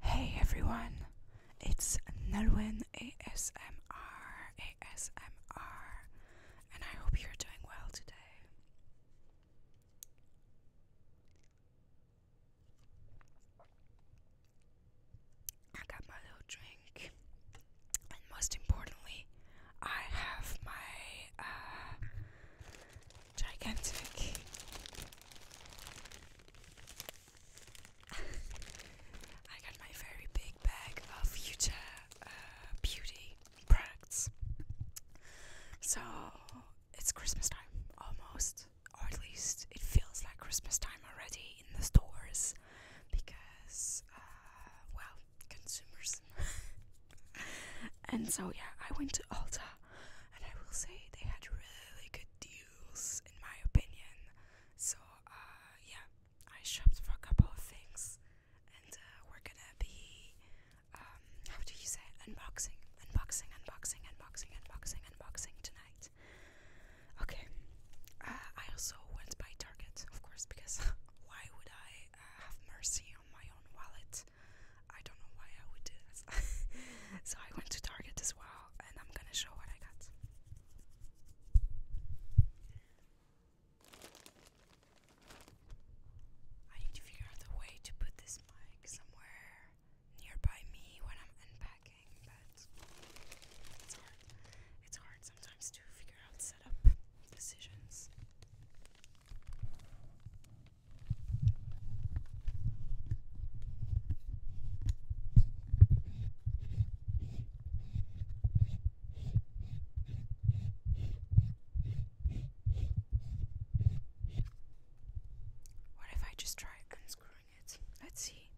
Hey everyone, it's Nalwyn ASMR ASMR, and I hope you're doing well today. I got my little drink, and most importantly, I have my uh, gigantic. I got my very big bag of future uh, beauty products. So it's Christmas time almost, or at least it feels like Christmas time already in the stores because, uh, well, consumers. and so, yeah, I went to Ulta and I will say they had really good deals in my opinion. So uh, yeah, I shopped for a couple of things, and uh, we're gonna be um, how do you say unboxing, unboxing, unboxing, unboxing, unboxing, unboxing tonight. Okay. Uh, I also went by Target, of course, because why would I uh, have mercy on my own wallet? I don't know why I would do this. so I went to Target as well, and I'm gonna show what I got. I need to figure out a way to put this mic somewhere nearby me when I'm unpacking, but it's hard. It's hard sometimes to figure out setup decisions. What if I just try unscrewing it? Let's see.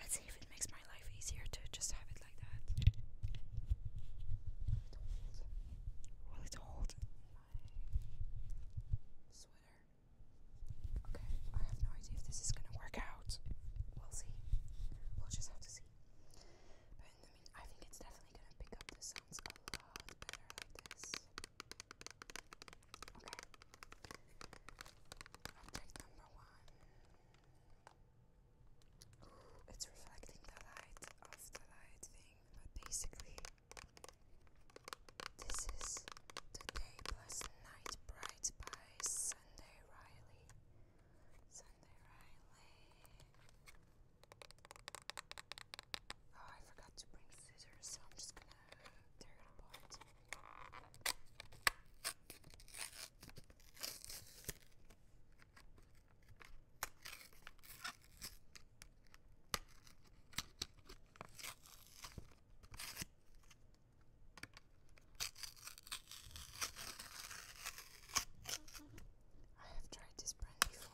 Let's see if it makes my life easier to just have it like that. Will it hold Okay, I have no idea if this is gonna work out. We'll see. We'll just have to see. But in mean, I think it's definitely gonna pick up the sounds a lot better like this. Okay. Object number one. Ooh, it's reflecting the light of the light thing, but basically this is The Day Plus the Night Bright by Sunday Riley. Sunday Riley. Oh, I forgot to bring scissors, so I'm just gonna tear it apart. I have tried this brand before.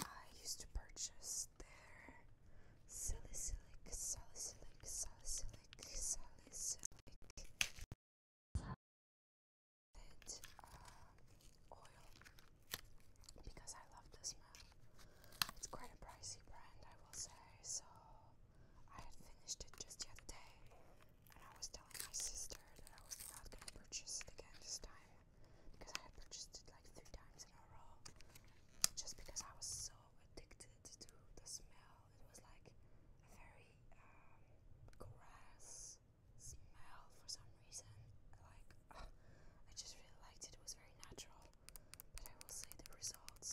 I used to purchase their salicylic, salicylic, salicylic, salicylic, uh, oil because I love the smell. It's quite a pricey brand, I will say, so I had finished it just the other day, and I was telling my sister that I was not going to purchase it again this time because I had purchased it like three times in a row just because I was so addicted to the smell. It was like a very um, grass smell for some reason. Like, uh, I just really liked it, it was very natural but I will say the results.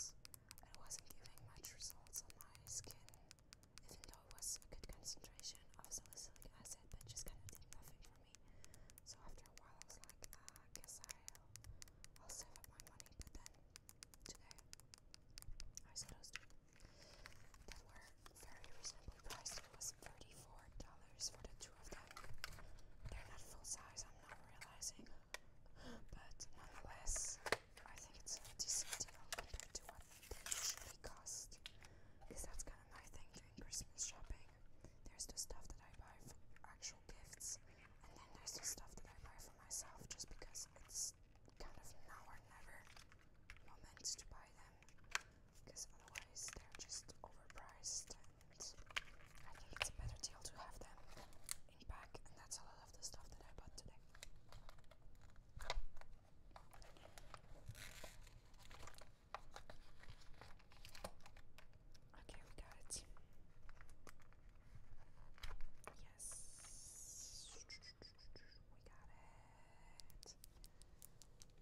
I wasn't giving much results on my skin, even though it was a good concentration of salicylic acid, but just kind of did nothing for me. So after a while, I was like, uh, I guess I'll, I'll save up my money. But then today, I saw those two that were very reasonably priced. It was $34 for the two of them. They're not full size. I'm I'm not realizing. But nonetheless, I think it's a decent deal compared to what they usually cost. Because that's kind of my thing during Christmas shopping. There's the stuff that I buy for actual gifts, and then there's the stuff that I buy for myself just because it's kind of now or never moment to buy them. Because otherwise, they're just overpriced and I think it's better deal to have them in pack, and that's a lot of the stuff that I bought today. Okay, we got it. Yes, we got it.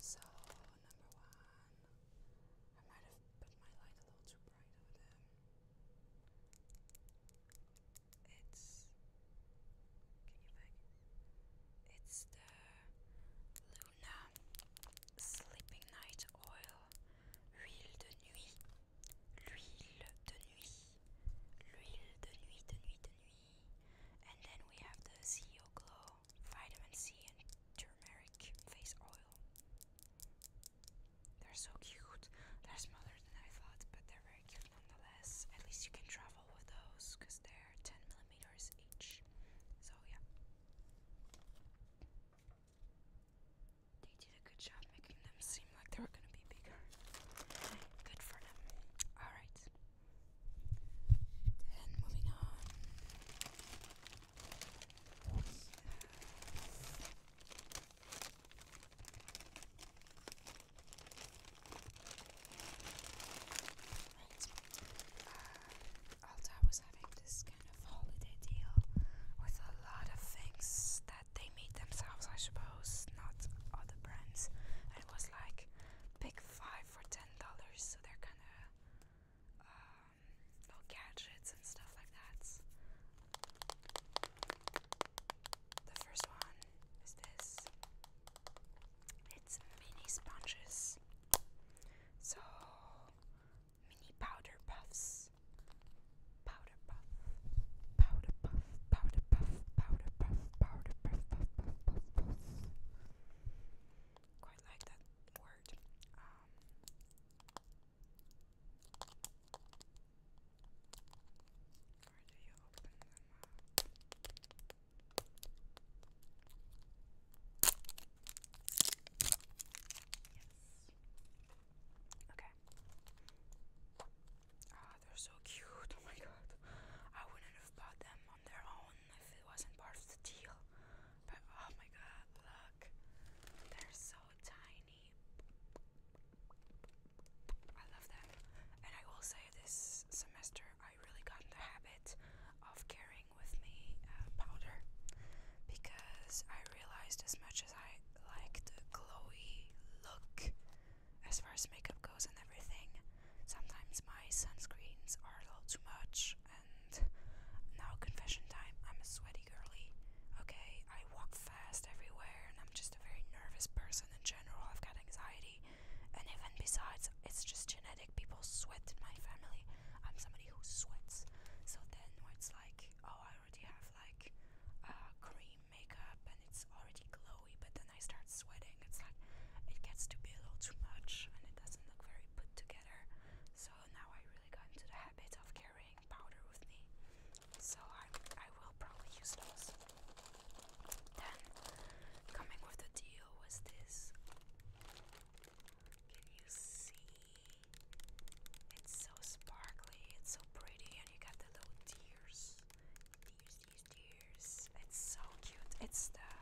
So, number one, I might have put my light a little too it's. Can you focus? It's the Luna Sleeping Night Oil. Huile de nuit. L'huile de nuit. L'huile de nuit, de nuit, de nuit. And then we have the CEO Glow Vitamin C and Turmeric Face Oil. They're so cute. They're smaller than I thought, but they're very cute nonetheless. At least you can travel with those because they're 10 millimeters each. So, yeah. They did a good job making them seem like they were gonna be bigger. Good for them. Alright. Then moving on. Right. was having this kind of holiday deal with a lot of things that they made themselves, I suppose, not other brands. And it was like pick five for ten dollars, so they're kind of uh, um, little gadgets and stuff like that. The first one is this. It's mini sponges. So mini powder puffs. Powder puff. Powder puff. Powder puff. Powder puff. Powder puff. Powder puff. Quite like that word. Um, or do you open them up? Yes. Okay. Ah, they're so cute. Oh my god. I wouldn't have bought them on their own if it wasn't part of the deal. But oh my god, look. They're so tiny. I love them. And I will say this semester I really got in the habit of carrying with me uh, powder because I realized as much as I like the glowy look as far as makeup goes and everything, sometimes my sunscreens are a little too much and and now confession time. I'm a sweaty girly. Okay, I walk fast everywhere, and I'm just a very nervous person in general. I've got anxiety, and even besides, it's just genetic. People sweat in my family. I'm somebody who sweats. So then, it's like, oh, I already have like uh, cream makeup, and it's already glowy, but then I start sweating. It's like it gets to be a little too much, and it doesn't look very put together. So now I really got into the habit of powder with me, so I, I will probably use those. Then, coming with the deal was this. Can you see? It's so sparkly, it's so pretty, and you got the little tears. Tears, tears, It's so cute. It's the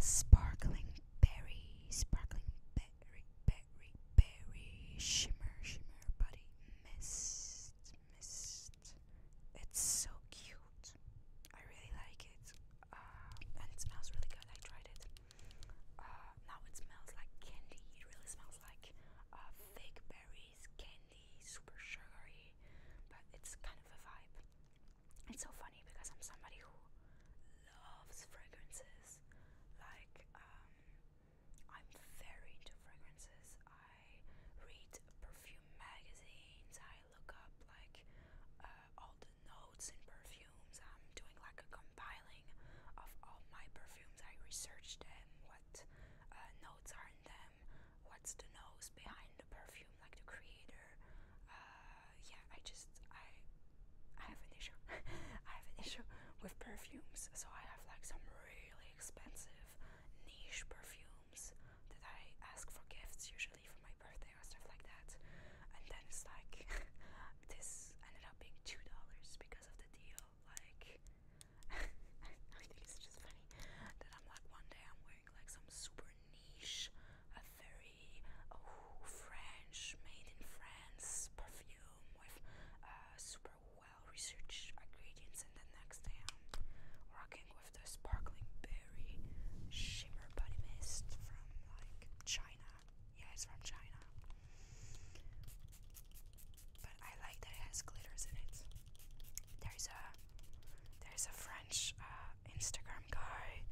sparkling berry, sparkling berry berry, berry, berry, shimmer, shimmer, buddy, mist, mist. It's so cute. I really like it. Uh, and it smells really good. I tried it. Uh, now it smells like candy. It really smells like uh, fake berries, candy, super sugary. But it's kind of a vibe. It's so funny because I'm somebody who loves fragrances. Like, um, I'm very into fragrances. I read perfume magazines. I look up like uh, all the notes in perfumes. I'm doing like a compiling of all my perfumes. I researched them. What uh, notes are in them? What's the nose behind the perfume? Like the creator. Uh, yeah, I just I I have an issue. I have an issue with perfumes. So I have like some really expensive niche perfumes that I ask for gifts usually for my birthday or stuff like that. And then it's like this ended up being two dollars because of the deal. Like I think it's just funny that I'm like one day I'm wearing like some super niche, a very oh French made in France perfume with uh, super well researched ingredients, and the next day I'm rocking with the sparkling berry shimmer body mist from like China. Yeah, it's from China, but I like that it has glitters in it. There's a there's a French uh, Instagram guy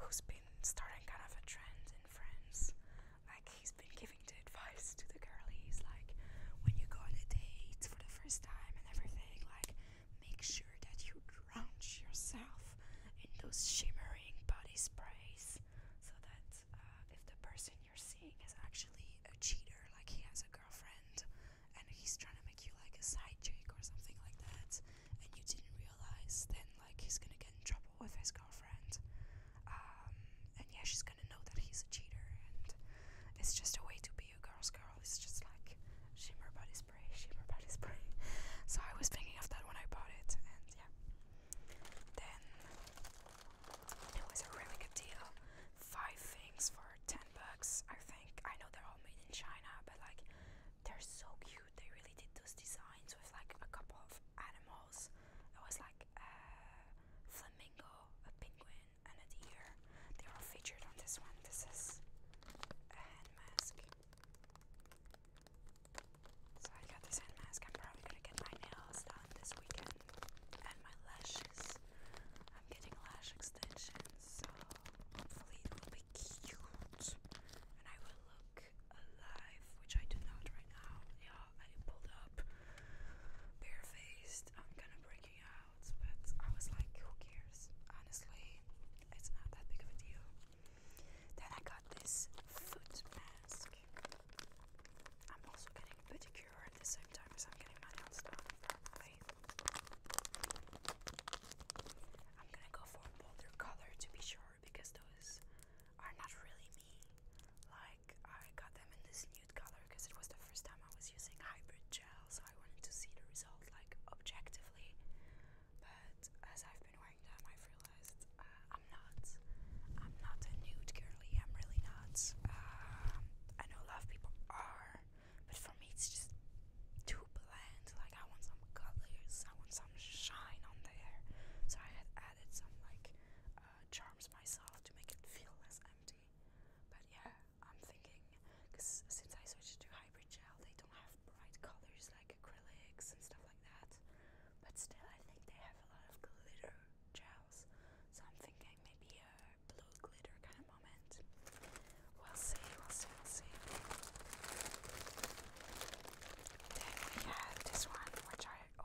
who's been starting kind of a trend in France like he's been giving the advice to the girlies, like when you go on a date for the first time and everything, like make sure that you drench yourself in those shimmering body sprays, so that uh, if the person you're seeing is actually a cheater, like he has a girlfriend and he's trying to make you like a side chick or something like that, and you didn't realize, then like he's gonna get in trouble comfortable with his girlfriend. Um, and yeah, she's gonna know that he's a cheater, and it's just a way to be a girl's girl. It's just like shimmer body spray, shimmer body spray. So I was thinking of that when I bought it, and yeah. Then it was a really good deal. Five things for ten bucks, I think. I know they're all made in China, but like they're so cute. They really did those designs with like a couple of animals. It was like a uh, flamingo, a penguin, and a deer. They're all featured on this one. This is a hand mask. So I got this hand mask. I'm probably gonna get my nails done this weekend and my lashes. I'm getting lash extensions, so hopefully it will be cute and I will look alive, which I do not right now. Yeah, I pulled up barefaced. I'm kind of breaking out, but I was like, who cares? Honestly, it's not that big of a deal. Then I got this foot mask. I'm also getting pedicure at the same time as I'm getting my nails done. Right? I'm gonna go for a bolder color to be sure because those are not really me. Like I got them in this nude color because it was the first time I was using hybrid gel, so I wanted to see the result like objectively. But as I've been wearing them, I've realized uh, I'm not. I'm not a nude girly. I'm really not. Um, I know a lot of people are, but for me, it's just too bland. Like I want some colors. I want some shine on there. So I had added some like. Uh, charms myself to make it feel less empty. But yeah, I'm thinking because since I switched to hybrid gel, they don't have bright colors like acrylics and stuff like that. But still, I think they have a lot of glitter gels. So I'm thinking maybe a blue glitter kind of moment. We'll see, we'll see, we'll see. Then we have this one, which I already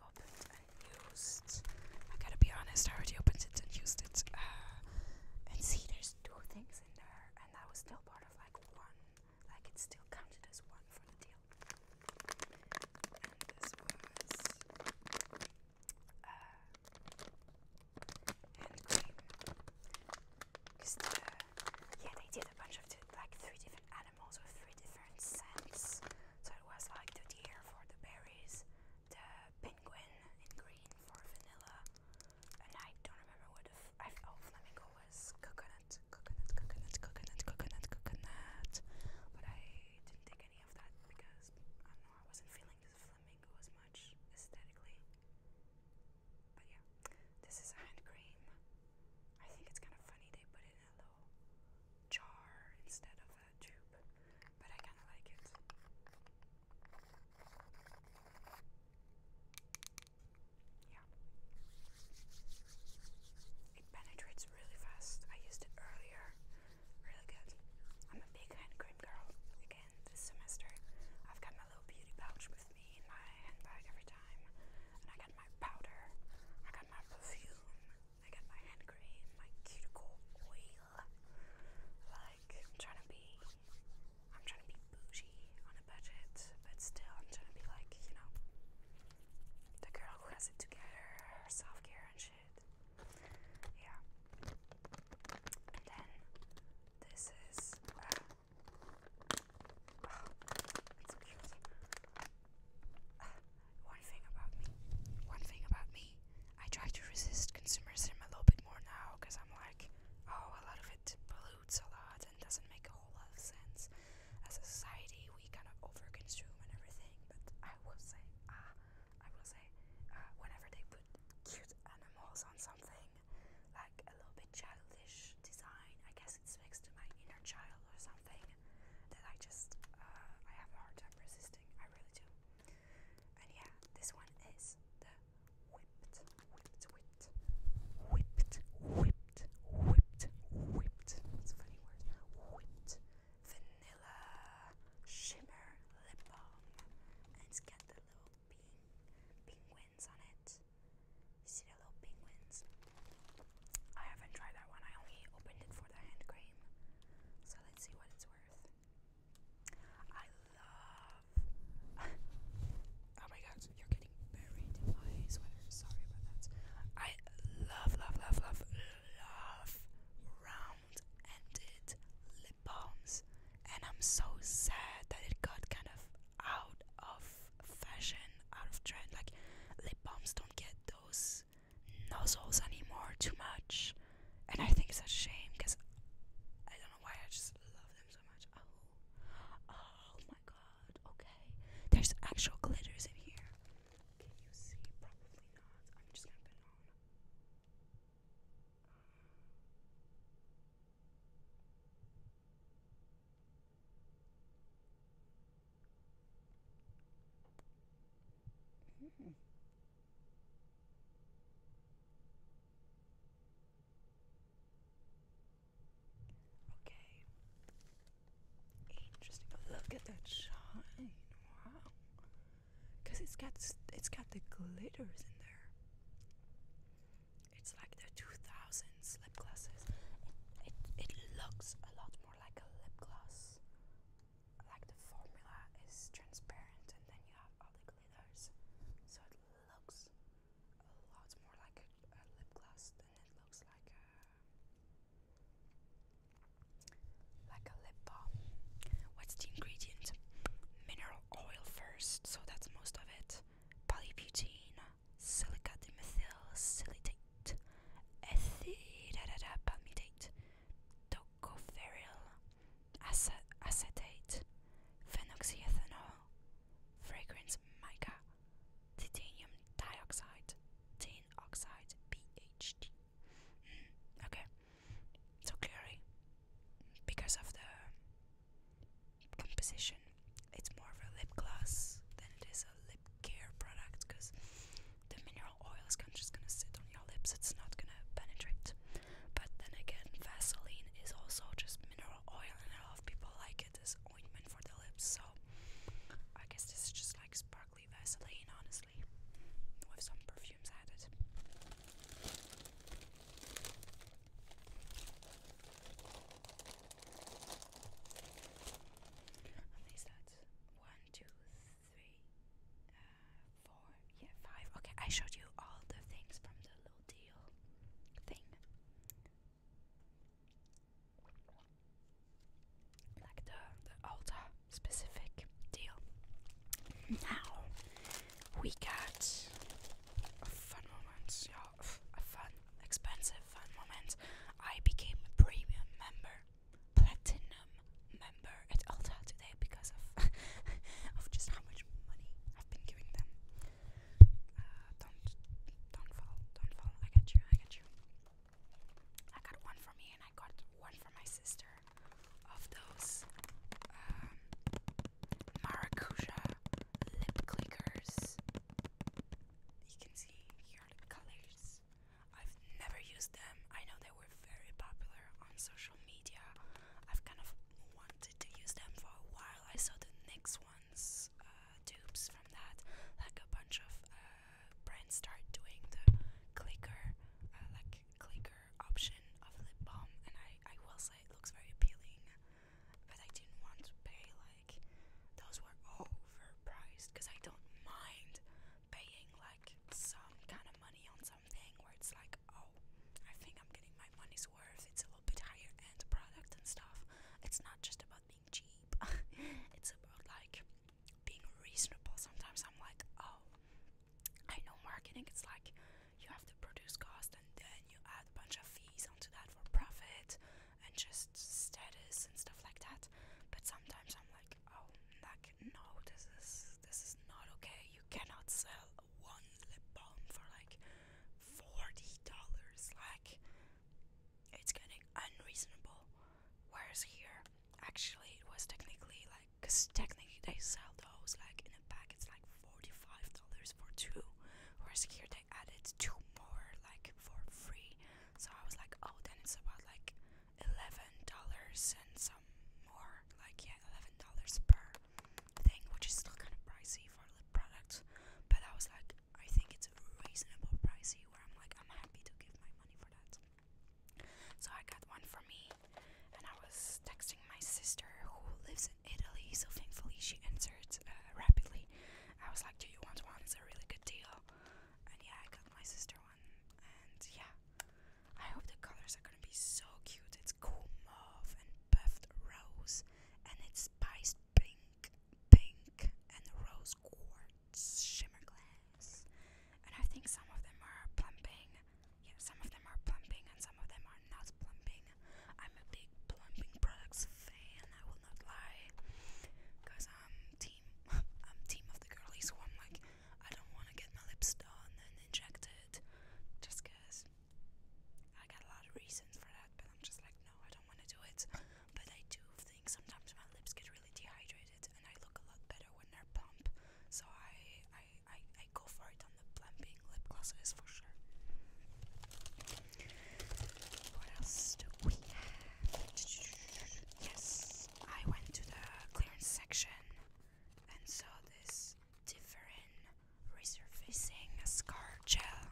opened and used. I gotta be honest, I already opened it and used it. Uh, and see, there's two things in there, and that was still part of like one. Like it's still counted as one for the deal. And this was uh, hand cream. Uh, yeah, they did a bunch of like three different add animals three different scents. So it was like the deer for the berries, the penguin in green for vanilla, and I don't remember what the oh, flamingo was coconut, coconut, coconut, coconut, coconut, coconut. But I didn't take any of that because I know I wasn't feeling the flamingo as much aesthetically. But yeah, this is a hand cream. I think it's kind of funny they put it in a little jar instead of a tube, but I kind of like it. Yeah. It penetrates really fast. I used it earlier. Really good. I'm a big hand cream girl. Again, this semester, I've got my little beauty pouch with me in my handbag every time. And I got my powder, I got my perfume, I got my hand cream, my cuticle oil. Like I'm trying to be, I'm trying to be bougie on a budget, but still I'm trying to be like you know, the girl who has it together, self care and shit. Yeah. And then this is. Uh, oh, it's cute. one thing about me, one thing about me, I try to resist consumerism a little bit more now because I'm like, oh, a lot of it pollutes a lot and doesn't make a whole lot of sense. As a society, we kind of overconsume and everything. But I will say, ah, uh, I will say, uh, whenever they put cute animals on something, like a little bit childish design, I guess it speaks to my inner child or something that I just uh, I have a hard time resisting. I really do. And yeah, this one is the whipped, whipped, whipped, whipped, whipped, whipped, whipped. It's a funny word. Whipped vanilla shimmer lip balm, and it's got the little pink penguins on it. You see the little penguins? I haven't tried that one. I only opened it for the hand cream. So let's see what it's worth. I love. oh my god, you're getting buried in my sweater. Sorry about that. I love, love, love, love, love round ended lip balms. And I'm so sad that it got kind of out of fashion, out of trend. Like, lip balms don't get those nozzles anymore too much, and I think it's a shame because I don't know why I just love them so much. Oh, oh my god. Okay, there's actual glitters in here. Can you see? Probably not. I'm just gonna put on. Hmm. Okay. Interesting. Oh, look at that shine. Wow. Cause it's got it's got the glitters in there. It's like the 2000s lip glosses. It, it, it looks a lot more like a lip gloss like the formula is transparent and then you have all the glitters so it looks a lot more like a, lip gloss than it looks like a like a lip balm what's the ingredient mineral oil first so that's most of it Polybutene, silica dimethyl silicate palmitate, tocopherol, acetate, phenoxyethanol, fragrance mica, titanium dioxide, tin oxide, PHD. Mm, okay, so clearly, because of the composition, it's more of a lip gloss than it is a lip care product because the mineral oil is kind of just gonna sit on your lips, it's not gonna penetrate. But then again, Vaseline is also just mineral oil, and a lot of people like it as ointment for the lips, so I guess this is just like sparkly Vaseline, honestly, with some perfumes added. And these one, two, three, uh, four, yeah, five. Okay, I showed you all the things from the little deal thing. Like the, the Ulta specific deal. Now, we got a fun moment, yeah, a fun, expensive fun moment. I became a premium member platinum member at Ulta today because of of just how much money I've been giving them. Uh, don't don't fall, don't fall. I got you, I got you. I got one for me and I got one for my sister of those um, maracuja lip clickers. You can see here the colors ones. I've never used them. I know they were very popular on social media. I've kind of wanted to use them for a while. I saw the NYX ones, uh, dupes from that. Like a bunch of uh, brands start doing the clicker, uh, like clicker option of lip balm, and I, I will say it looks very appealing. But I didn't want to pay like those were overpriced because I don't mind paying like some kind of money on something where it's like, oh, I think I'm getting my money's worth. It's a little bit higher end product and stuff. It's not just about being cheap. it's about like being reasonable. Sometimes I'm like, oh, I know marketing. It's like you have to produce cost and then you add a bunch of fees onto that for profit and just status and stuff like that. But sometimes I'm like, like, oh, like, no, this is this is not okay. You cannot sell one lip balm for like forty dollars. Like, it's getting unreasonable. Whereas here, actually, it was technically like, cause technically they sell those like in a pack. It's like forty-five dollars for two. Whereas here they added two more like for free. So I was like, oh, then it's about like eleven dollars and some more, like yeah, eleven dollars per thing, which is still kind of pricey for lip product. But I was like, I think it's reasonable pricey, where I'm like, I'm happy to give my money for that. So I got one for me, and I was texting my sister who lives in Italy, so thankfully she answered uh, rapidly. I was like, Do you want one? It's a really good deal and yeah, I got my sister one, and yeah, I hope the colors are gonna be so cute. It's cool mauve and buffed rose, and it's spiced pink, pink, and rose quartz shimmer glass. And I think some of them are plumping. Yeah, some of them are plumping, and some of them are not plumping. I'm a big plumping products fan. I will not lie, cause I'm um, team. I'm um, team of the girlies who I'm like, I don't want to get my lips done and injected just I got a lot of reasons for that, but I'm just like, no, I don't want to do it. But I do think sometimes my lips get really dehydrated and I look a lot better when they're plump. So I, I, I, I go for it on the plumping lip glosses for sure. What else do we have? Yes, I went to the clearance section and saw this different resurfacing scar gel,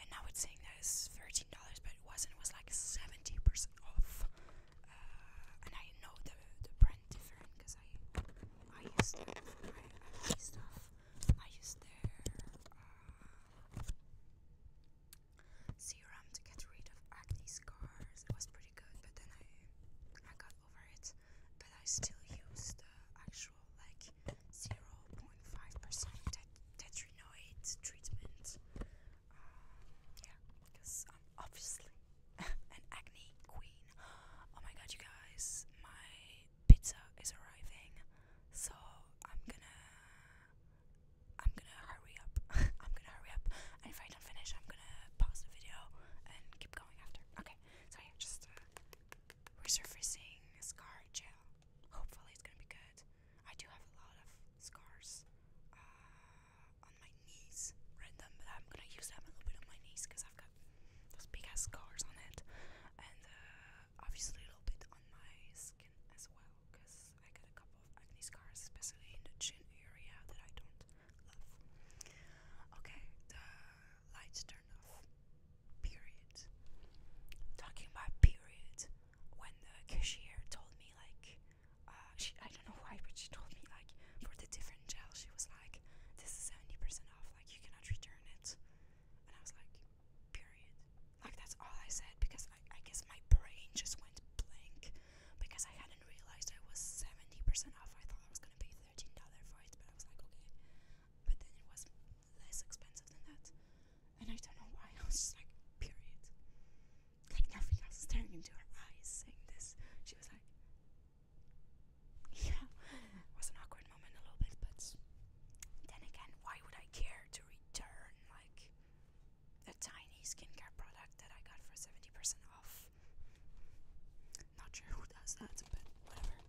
and now it's saying that it's $13, but it wasn't, it was like 70% off. Uh, and I know the, the brand different because I, I used their I, I used stuff. I used their uh, serum to get rid of acne scars. It was pretty good, but then I I got over it. But I still use the actual like 0.5% tet treatment. Uh, yeah, because I'm obviously an acne queen. Oh my god, you guys, my pizza is arriving, so I'm gonna I'm gonna hurry up. I'm gonna hurry up. And if I don't finish, I'm gonna pause the video and keep going after. Okay, so yeah, just uh, resurfacing scar gel. Hopefully, it's gonna be good. I do have a lot of scars uh, on my knees, random, but I'm gonna use them a little bit on my knees because I've got those big ass scars on it, and uh, obviously a little bit on my skin as well because I got a couple of acne scars, especially in the chin area that I don't love. Okay, the lights turn off. Period. Talking about period, when the cashier told me like, uh, she, I don't know why, but she told me like for the different gel, she was like, this is seventy percent off. Like you cannot return it. And I was like, period. Like that's all I said because I, I guess my brain just went blank because I hadn't realized I was 70% off. I thought I was going to pay $13 for it, but I was like, okay. But then it was less expensive than that. And I don't know why. I was just like, period. Like nothing. else. was staring into her eyes saying this. She was like, yeah. It was an awkward moment a little bit, but then again, why would I care to return? Like, a tiny skincare product that I got for 70% off. Not sure who does that, but whatever.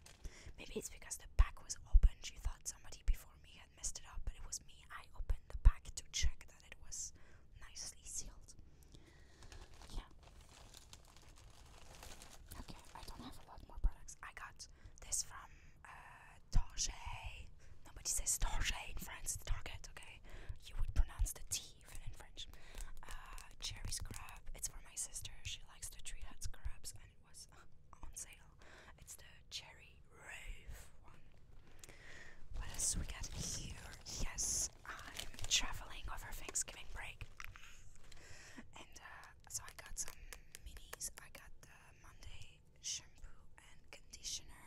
Maybe it's because the pack was open. She thought somebody before me had messed it up, but it was me. I opened the pack to check that it was nicely sealed. Yeah. Okay, I don't have a lot more products. I got this from uh, Nobody says Target in France, Target, okay? you would pronounce the T even in French. Uh, cherry scrap. It's for my sister. She likes to treat her scrubs, and it was uh, on sale. It's the cherry rave one. What else we got here? Yes, I'm traveling over Thanksgiving break, and uh, so I got some minis. I got the Monday shampoo and conditioner.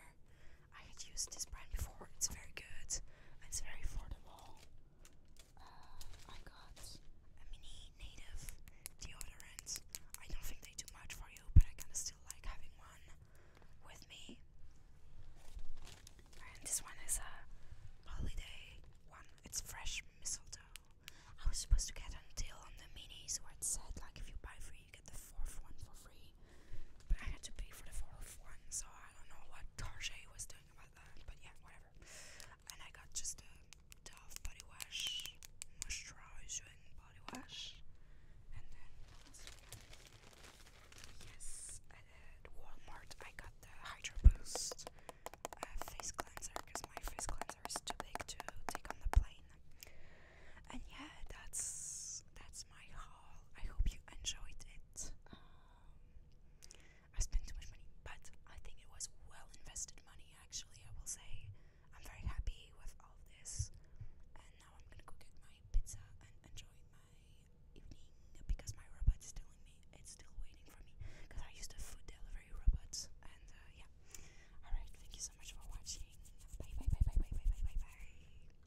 I had used this brand before. It's very good. and It's very affordable. Uh, I got a mini native deodorant. I don't think they do much for you, but I kind of still like having one with me. And this one is a holiday one. It's fresh mistletoe. I was supposed to get a deal on the mini, so it said like if you buy three, you the fourth one for free, but I had to pay for the fourth one, so I don't know what Tarjay was doing about that, but yeah, whatever. And I got just the Dove body wash, moisturizing body wash, and then yes, at Walmart I got the Hydro Boost face cleanser because my face cleanser is too big to take on the plane. And yeah, that's that's my haul. I hope you enjoyed it. Um, I spent too much money, but I think it was well invested money, actually. I will say I'm very happy with all of this, and now I'm gonna go get my pizza and enjoy my evening because my robot is telling me it's still waiting for me because I used a food delivery robot, and uh, yeah. Alright, thank you so much for watching. bye bye bye bye bye bye bye bye.